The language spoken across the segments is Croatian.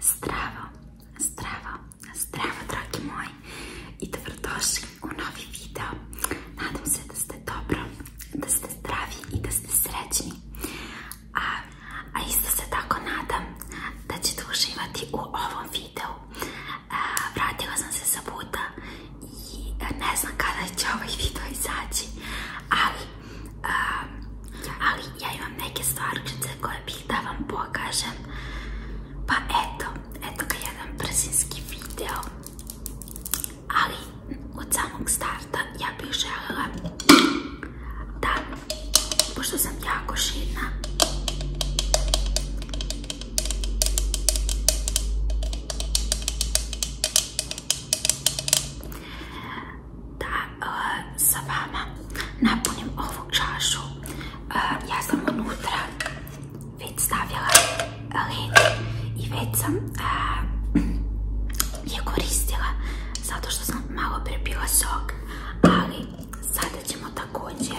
Zdravo, zdravo, zdravo dragi moji i dobrodošli u novi video. Nadam se da ste dobro, da ste zdravi i da ste srećni. A, a isto se tako nadam da ćete uživati u ovom videu. vratila sam se sa puta i ne znam kada će ovaj video izaći, ali, um, ja imam neke stvari koje bih da vam pokažem. Pa eto, eto ga jedan brzinski video, ali od samog starta ja bih željela da, pošto sam jako širna, da e, sa vama napunim ovu čašu. E, ja sam unutra već stavila i već e, je koristila zato što sam malo prebila sok, ali sada ćemo također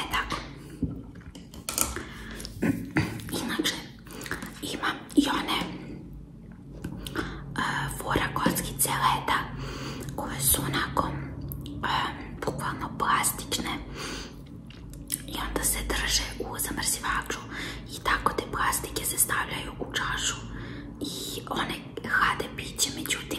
E tako. Inače, ima i one e, fora celeta koje su onako e, plastične i onda se drže u zamrzivaču i tako te plastike se stavljaju u čašu i one hlade piće, međutim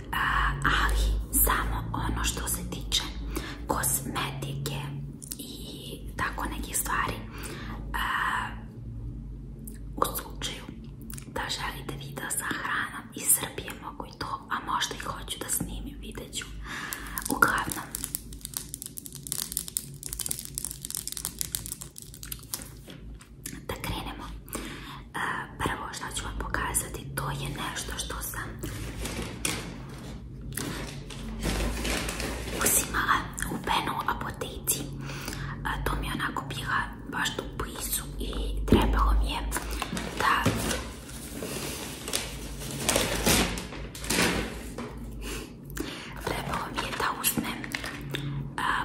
Eh, ali samo ono što se tiče kosmetike i tako nekih stvari eh, u slučaju da želite video sa hranom iz Srbije mogu i to, a možda i hoću da snimim, vidjet ću. Uglavnom, da krenemo. Prvo što ću vam pokazati, to je nešto što sam uzimala u penu apotici. To mi je onako bila baš tu blizu i trebalo mi je da... Trebalo mi je da uzmem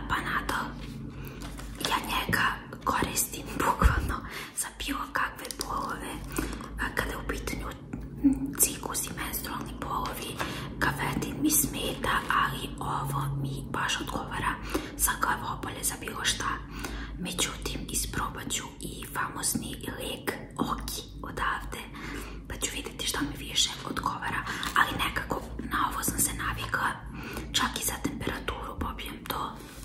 panadol. Ja njega koristim bukvalno za bilo kakve bolove, kada je u pitanju cikus i menstrualni bolovi, kafetin mi smeta, ali ovo mi baš odgovara za glavobolje, za bilo šta. Međutim, isprobat ću i famozni lek Oki odavde, pa ću vidjeti šta mi više odgovara, ali nekako na ovo sam se navikla, čak i za temperaturu popijem to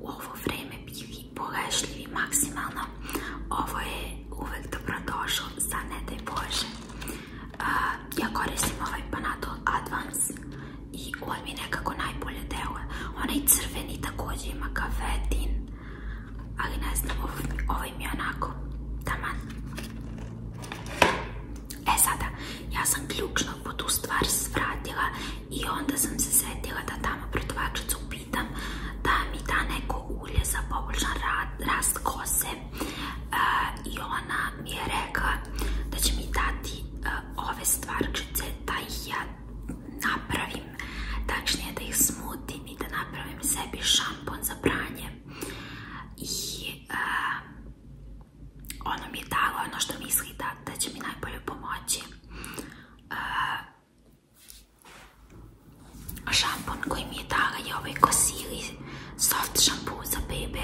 u ovo vrijeme vi bogašljivi maksimalno. Ovo je uvek dobro došlo za ne daj Bože. ja koristim ovaj Panato Advance i on mi nekako najbolje deluje. Onaj crveni također ima kafetin, ali ne znam, ovaj, mi je onako taman. E sada, ja sam ključno po tu stvar svratila i onda sam se setila da tamo prodavačicu pitam da mi da neko ulje za poboljšan rast kose e, i ona mi je rekla da će mi dati e, ove stvarčice da ih ja napravim tačnije da ih smutim i da napravim sebi šampon za pranje i e, ona mi je dala ono što misli da, da će mi najbolje pomoći šampon koji mi je dala je ovaj Kosili soft šampu za bebe.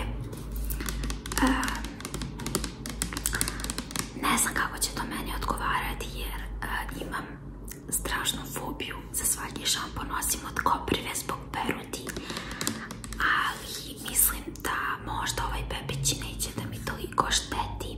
ne znam kako će to meni odgovarati jer imam strašnu fobiju za svaki šampon osim od koprive zbog peruti. Ali mislim da možda ovaj bebići neće da mi toliko šteti.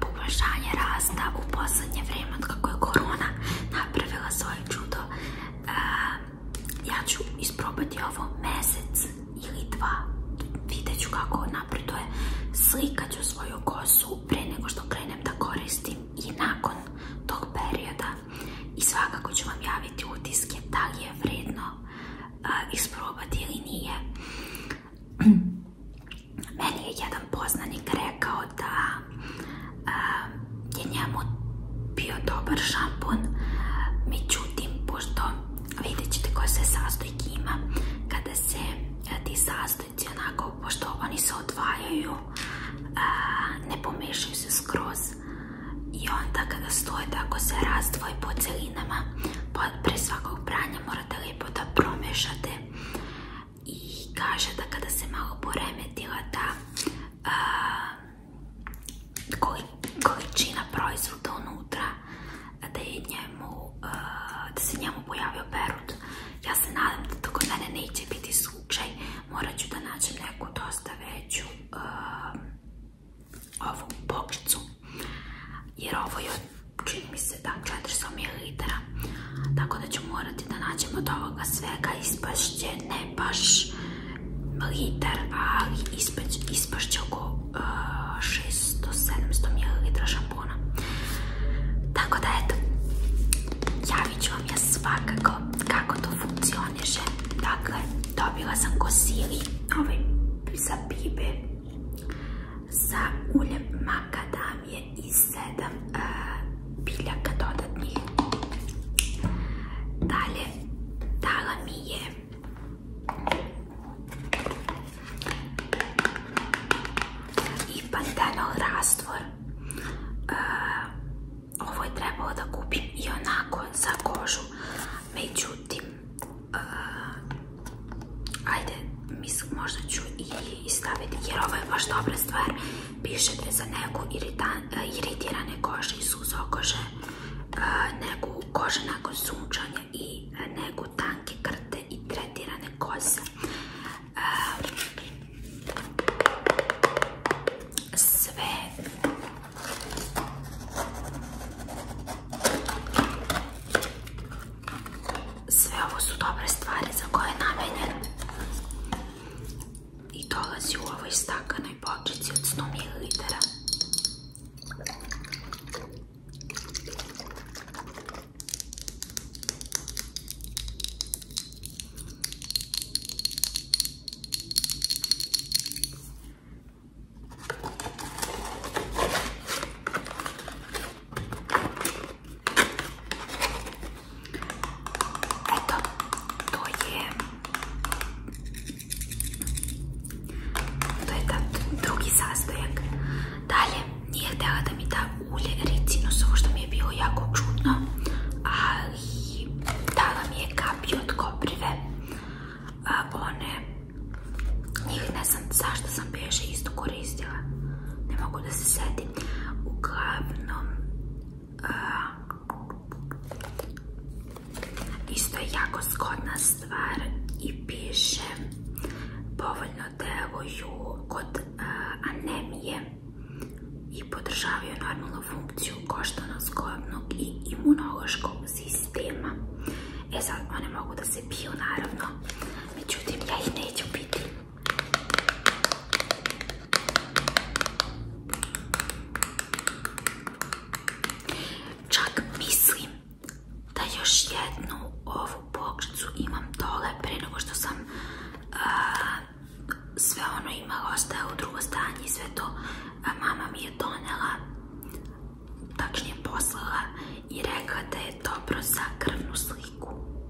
poboljšanje rasta u posljednje vrijeme kako je korona napravila svoje čudo. E, ja ću isprobati ovo mjesec ili dva. Vidjet ću kako napreduje. Slikat ću svoju kosu pre nego što krenem da koristim i nakon tog perioda. I svakako ću vam javiti utiske da li je vredno e, isprobati ili nije. Meni je jedan poznanik rekao da eh, je njemu bio dobar šampun, međutim, pošto vidjet ćete koje se sastojke ima, kada se eh, ti sastojci onako, pošto oni se odvajaju, eh, ne pomešaju se skroz i onda kada stoje tako se razdvoj po celinama, pre svakog pranja morate lijepo da promešate i kaže da kada se malo poremetila ta količina proizvoda unutra da je njemu da se njemu pojavio perut ja se nadam da kod mene neće biti slučaj morat ću da nađem neku dosta veću ovu jer ovo je mi se da 400 ml. Tako da ću morati da nađem od ovoga svega. Ispašće ne baš liter, ali ispašće oko 600-700 ml šampona. Tako da eto, javit ću vam ja svakako kako to funkcioniše. Dakle, dobila sam kosili ovaj za pibe, za uljem makadam je i 7 biljaka dodatnih. Dalje, dala mi je i pantenol rastvor. Ovo je trebalo da kupim i onako za kožu. Međutim, ajde, mislim možda ću i je i jer ovo je baš dobra stvar. Pišete za neku e, iritirane kože i suzo kože, e, neku kože nakon sunčanja i e, neku tanke krte i tretirane koze. Sve sve ovo su dobre stvari za koje je namenjen i dolazi u ovoj stakanoj bočici od 100 ml. Eto, to je... drugi sastojak. Dalje, nije htjela da mi da ulje ricinusovo, što mi je bilo jako čudno, ali mi je kapi od koprive. ne znam zašto sam piješe isto koristila. Ne mogu da se setim. Uglavnom, isto je jako zgodna stvar i piše povoljno deluju kod anemije i podržavaju normalnu funkciju koštano-zgodnog i imunološkog sistema. E sad, one mogu da se piju, naravno. Međutim, ja ih neću piti. Čak mislim da još jednu ovu pokricu imam dole pre nego što sam sve ono imala u drugo stanje sve to mama mi je donela tačnije poslala i rekla da je dobro za krvnu sliku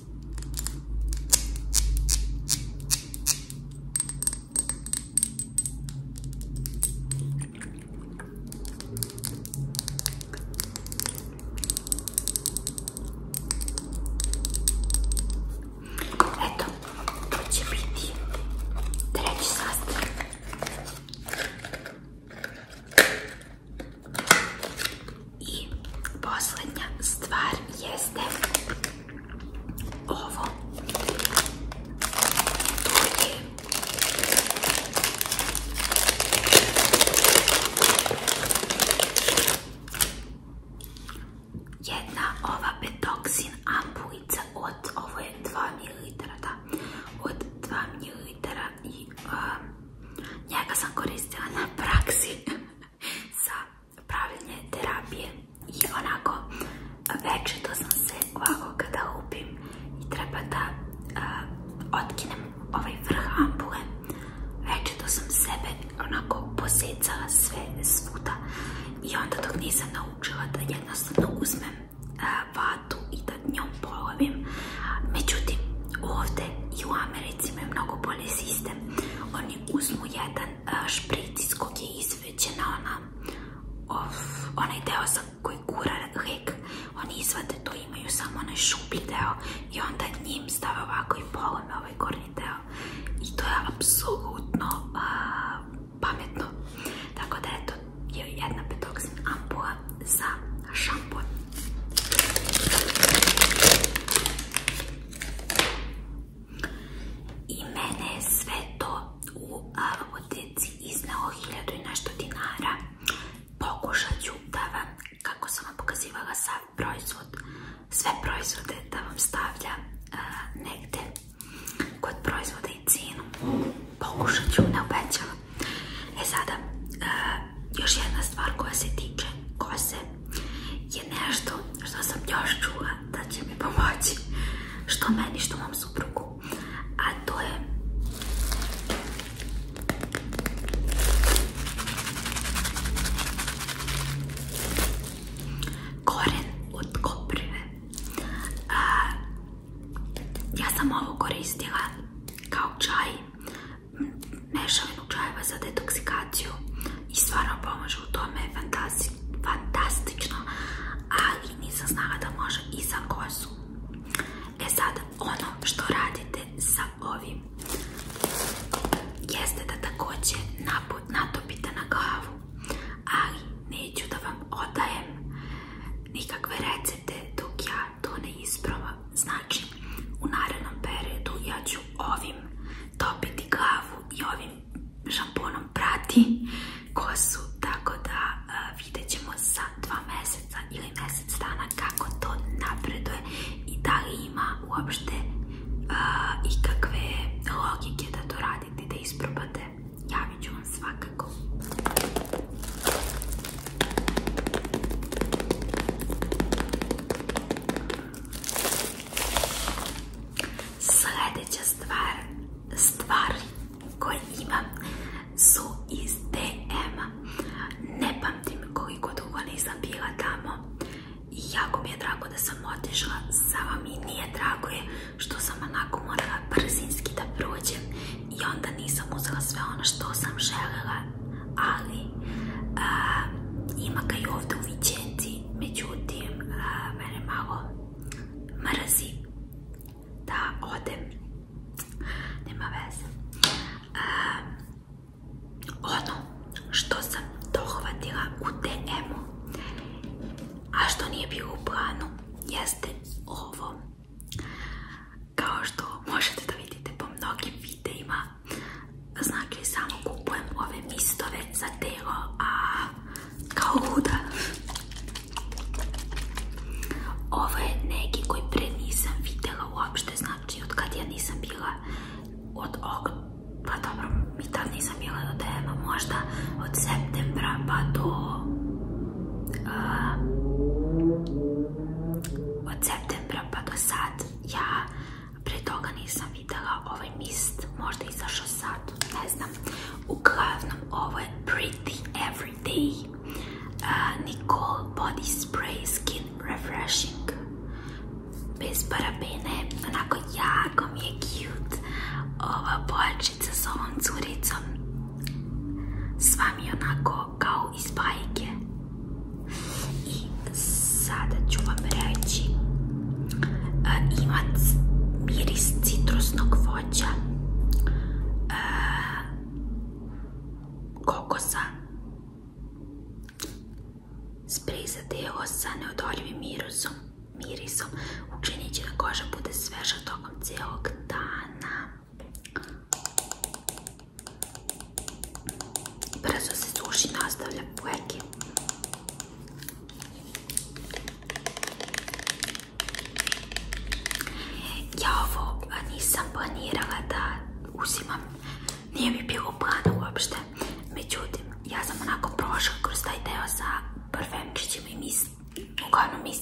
Eto, to će biti treći sastojak. I posljednja stvar jeste ovo tu je jedna ova betoksin ampulica od, ovo je 2 ml, da, od 2 ml i um, njega sam koristila na praksi za pravilne terapije i onako večer to sam se ovako kada upim i treba da otkinem ovaj vrh ampule večer to sam sebe onako posecala sve svuda i onda dok nisam naučila da jednostavno uzmem vatu i da njom polovim međutim ovdje i u Americi imaju mnogo bolji sistem oni uzmu jedan jedan špric je izvećena ona, of, onaj deo za koji kura Oni izvate to, imaju samo onaj šuplji deo i onda njim stave ovako i polome ovaj gornji deo. I to je apsolutno pametno. Tako da eto, je jedna petoksin ampula za šampon. I mene sve to u apoteci iznao hiljadu i nešto dinara. Pokušat ću da vam, kako sam vam pokazivala proizvod, sve proizvode da vam stavlja negde kod proizvoda i cijenu. Pokušat ću, ne obećavam. E sada, još jedna stvar koja se tiče kose je nešto što sam još čula da će mi pomoći. Što meni, što mom suprugu. A to je... Koren od koprive. A, ja sam ovo koristila kao čaj, mešavinu čajeva za detoksikaciju i stvarno pomaže u tome fantastično, ali nisam znala da može i za kosu. E sad, ono što radite sa ovim jeste da također natopite na glavu, ali neću da vam odajem nikakve recete dok ja to ne isprava. Znači, u narednom periodu ja ću ovim topiti glavu i ovim šamponom prati kosu, tako da e, vidjet ćemo za dva meseca ili mjesec dana kako to napreduje i da li ima uopšte i e, ikakve logike da to radite, da isprobate. Javit ću vam svakako. Sljedeća stvar, stvari koje imam su iz dm Ne pamtim koliko dugo nisam bila tamo i jako mi je drago da sam otišla, vam i nije drago je što sam onako morala brzinski da prođem i onda nisam uzela sve ono što sam željela, ali ima ga i ovdje u međutim mene malo mrzi da odem, nema veze. Ono što sam dohvatila u DM-u, a što nije bilo u planu, jeste ovo. Kao što možete da vidite po mnogim videima, Znači samo kupujem ove mistove za telo, a kao huda. Ovo je neki koji pre nisam vidjela uopšte, znači od kad ja nisam bila od ok... Pa dobro, mi tad nisam bila do tema, možda od septembra pa do... od septembra pa do sad ja Pre toga nisam videla ovaj mist, možda izašao sad, ne znam. Uglavnom, ovo je Pretty Everyday Nicole Body Spray Skin Refreshing. Bez parabene, onako jako mi je cute ova bojačica s ovom curicom. Sva mi onako kao iz bajke. I sve. Sada ću vam reći, e, miris citrusnog voća, e, kokosa, sprej za deo sa neodoljivim mirisom, mirisom. učinit će da koža bude sveža tokom cijelog dana. Brzo se suši i nastavlja pleke. Ja ovo nisam planirala da uzimam, nije mi bilo plana uopšte, međutim, ja sam onako prošla kroz taj deo sa parfemčićima i mis, uglavnom mis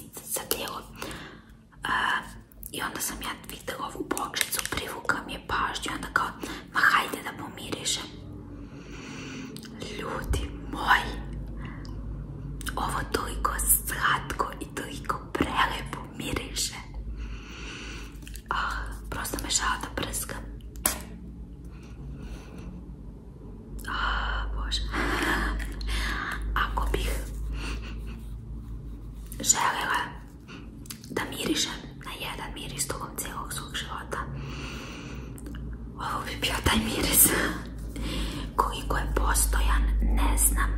I onda sam ja vidjela ovu bočicu, privukla mi je pažnju, onda kao Ma hajde da pomirišem. Ljudi moji, ovo toliko slatko i toliko prelepo miriše. Ah, prosto me šala da Ako bih želela da miriše na jedan miris togom cijelog svog života, ovo bi bio taj miris koliko je postojan, ne znam,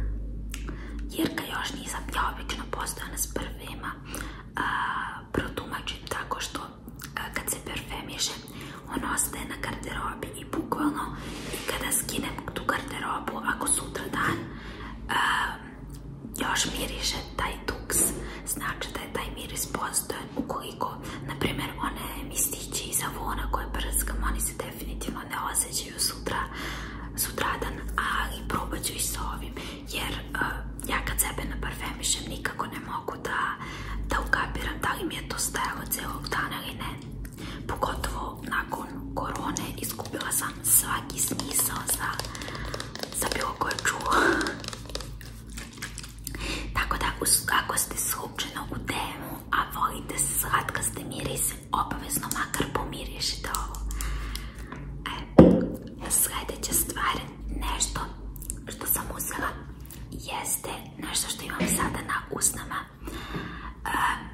jer ga još nisam, ja obično postojan s prvima protumačim tako što kad se perfemiše on ostaje na garderobi i bukvalno i kada skinem tu garderobu, ako sutra dan još miriše taj duks, znači da je taj miris postojan ukoliko, na primjer, one mistići iz avona koje prskam, oni se definitivno ne osjećaju sutra, sutradan, ali probat ću i sa ovim, jer e, ja kad sebe naparfemišem nikako ne mogu da da ukapiram da li mi je to stajalo celog dana ili ne. Pogotovo nakon korone izgubila sam svaki smisao za bilo koje čuo. Tako da, kako ste slučajno u temu, a volite slatkaste mirise, obavezno makar pomirišite ovo. ja sljedeća stvar, nešto što sam uzela, jeste nešto što imam sada na usnama. kada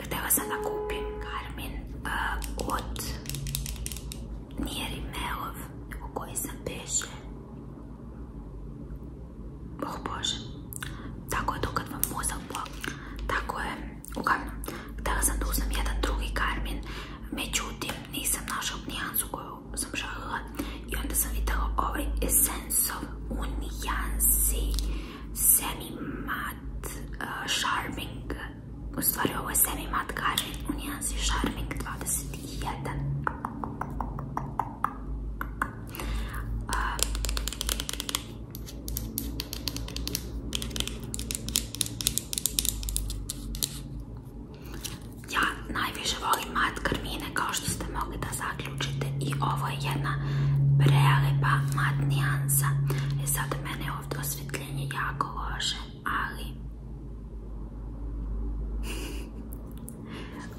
e, htjela sam da kupim Garmin e, od nije Melov, u koji sam peše. Oh Bože. Tako je dokad vam mozak Tako je. Uglavnom, htjela sam da jedan drugi karmin. Međutim, nisam našla nijansu koju sam šalila I onda sam vidjela ovaj Essence of Unijansi Semi Matte eh, sharping. U stvari ovo je Semi Matte Karmin nijansi Charming 20 jedan. ja najviše volim mat karmine kao što ste mogli da zaključite i ovo je jedna prelepa mat nijansa. zato e, sad mene ovdje jako loše ali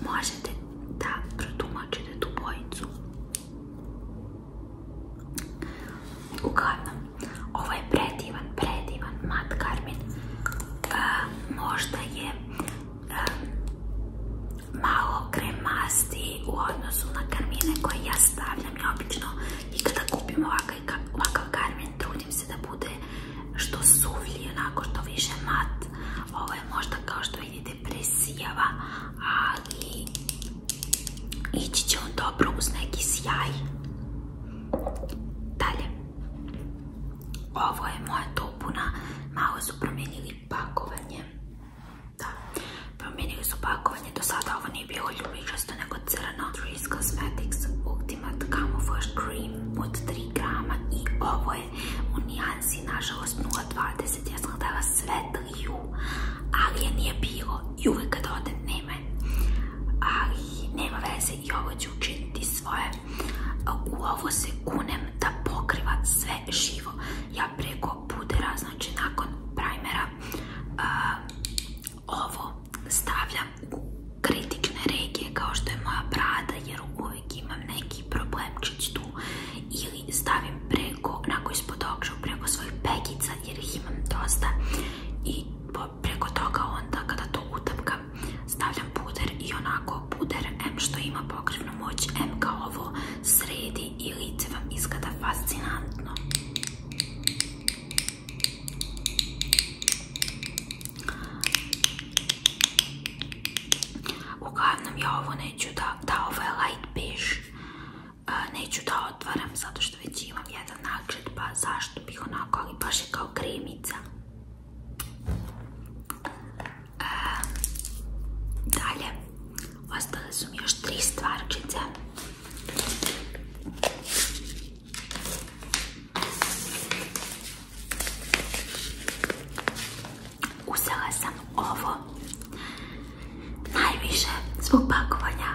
možete da protumačite tu bojicu. Uglavnom, ovo je predivan, predivan mat karmin. E, možda je e, malo kremasti u odnosu na karmine koje ja stavljam i obično i kada kupim ovakav, ovakav karmin, trudim se da bude što suvlji, onako što više mat. Ovo je možda kao što vidite presijava, ali ići će on dobro uz neki sjaj. Dalje. Ovo je moja topuna. Malo su promijenili pakovanje. Da, promijenili su pakovanje. Do sada ovo nije bilo ljubičasto, nego crno. Trees Cosmetics Ultimate first Cream od 3 grama i ovo je u nijansi nažalost 0.20, ja sam htjela sve ali je nije bilo i uvijek kad odem nema ali nema veze i ovo ću učiniti svoje, u ovo se kunem da pokriva sve živo, ja preko pudera, znači nakon primera, ovo stavljam kritične regije kao što je moja brada jer uvijek imam neki problemčić tu ili stavim preko, onako ispod okžu, preko svojih pekica jer ih imam dosta i preko toga onda kada to utapkam stavljam puder i onako puder M što ima pokrivnu moć M kao ovo sredi i lice vam izgleda fascinantno Uglavnom ja ovo neću da, da ovo ovaj je light beige, neću da otvaram zato što već imam jedan nagled pa zašto bih onako, ali baš je kao kremica. dalje, ostale su mi još tri stvarčice. Uzela sam ovo najviše zbog pakovanja,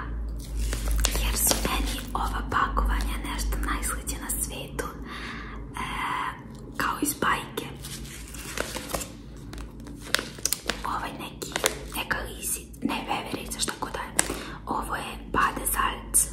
jer su meni ova pakovanja nešto najsliđe na svijetu, e, kao iz bajke. Ovaj neki, neka ne veverica, šta je. Ovo je Badezalc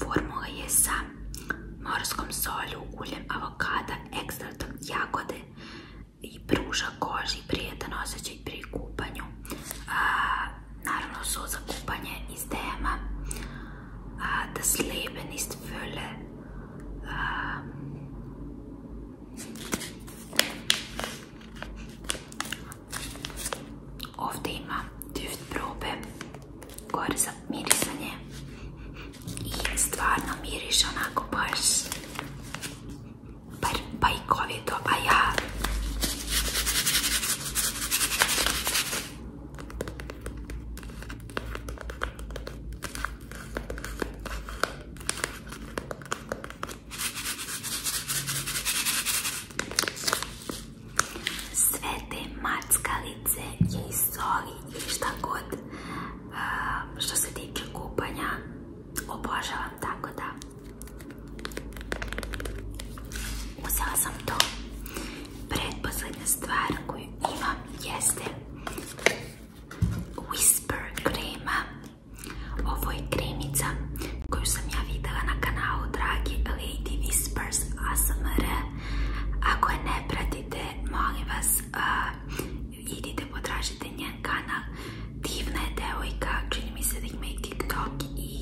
Formula je sa morskom solju, uljem avokada, jagode i pruža koži prijetan osjećaj pri kupanju. naravno su za kupanje iz dema. Das Leben ist Fülle. Ovdje ima duft probe gore za mirisanje i stvarno miriš onako baš bar bajkovito, a ja sve te mackalice je iz soli šta god e, što se tiče kupanja obožavam tako da uzela sam to predposlednja stvar koju imam jeste Whisper krema ovo je kremica koju sam ja vidjela na kanalu dragi Lady Whispers ASMR Ako je ne pratite, molim vas idite potražite njen kanal Divna je devojka, čini mi se da ima i TikTok i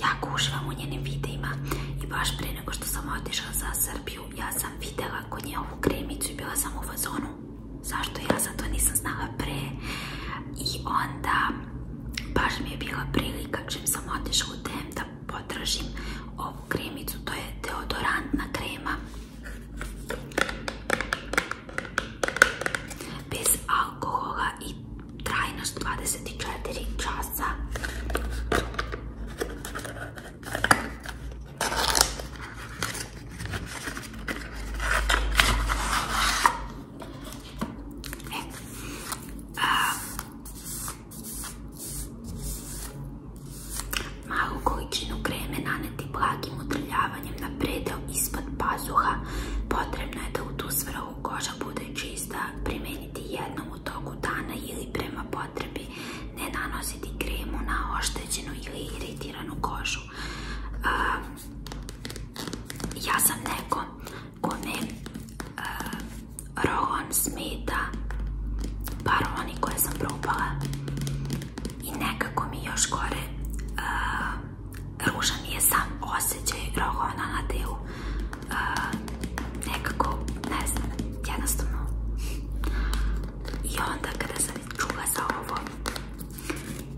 jako uživam u njenim videima i baš prije nego što sam otišla za Srbiju ja sam vidjela kod nje ovu kremicu bila sam u fazonu zašto ja zato to nisam znala pre i onda baš mi je bila prilika čim sam otišla u DM da potražim ovu kremicu, to je deodorantna krema bez alkohola i trajnost 24 časa E, malu količinu kreme naneti blagim utrljavanjem na predel ispod pazuha. Potrebno je da u tu svrhu koža bude čista, primijeniti jednom u toku dana ili prema potrebi ne nanositi kremu na oštećenu ili iritiranu kožu. E, ja sam neko con el uh, rojón smeta paroni koje sam probala i nekako mi još gore uh, eh, ružan je sam osjećaj rohona na delu uh, nekako ne znam, jednostavno i onda kada sam čula za ovo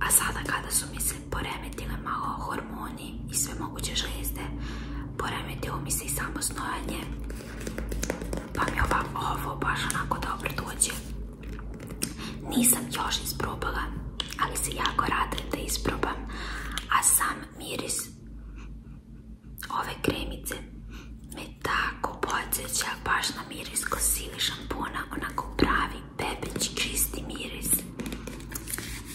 a sada kada su mislili se poremetile malo hormoni i sve moguće žlijezde. Poremetilo mi se i samo Pa mi ova, ovo baš onako dobro dođe. Nisam još isprobala, ali se jako radim da isprobam. A sam miris ove kremice me tako podsjeća baš na miris kosili šampona, onako pravi pepeći čisti miris.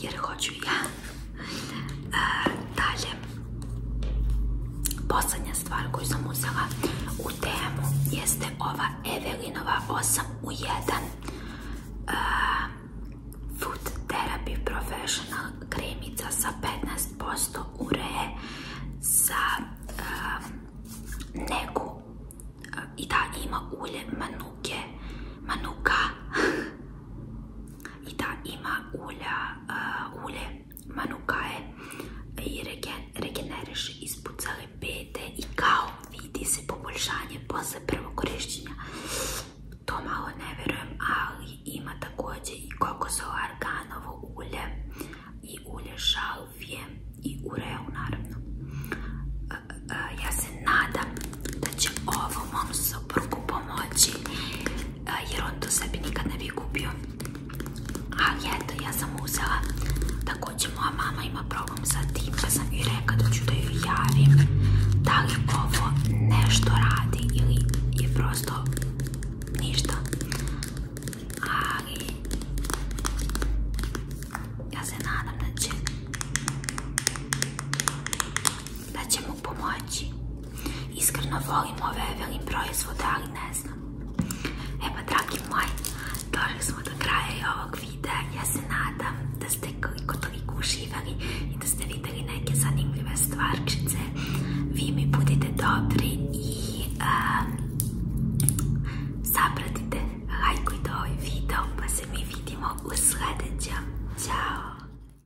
jer hoću ja e, dalje posljednja stvar koju sam uzela u temu jeste ova Evelinova 8 u 1 e, Food Therapy Professional kremica sa 15% ure za e, neku i da ima ulje manuke manuka i da ima ulja, eh, ulje manukaje i regeneriš ispod pete i kao vidi se poboljšanje posle prvog korišćenja. To malo ne verujem, ali ima također i kokosovo arganovo ulje i ulje šalvije i ureu naravno. Eh, eh, ja se nadam da će ovo mom pomoći jer on to sebi nikad ne bi kupio. Ali eto, ja sam uzela. Također moja mama ima problem sa tim, pa sam i reka da ću da ju javim. Da li ovo nešto radi ili je prosto ništa. Ali ja se nadam da će mu pomoći. Iskreno volim ove velim proizvode, ali ne znam. E pa, dragi moji, došli smo do kraja i ovog videa. Ja se nadam da ste koliko toliko uživali i da ste videli neke zanimljive stvarčice. Vi mi budite dobri i zapratite zapratite, lajkujte ovaj video, pa se mi vidimo u sljedećem. Ćao!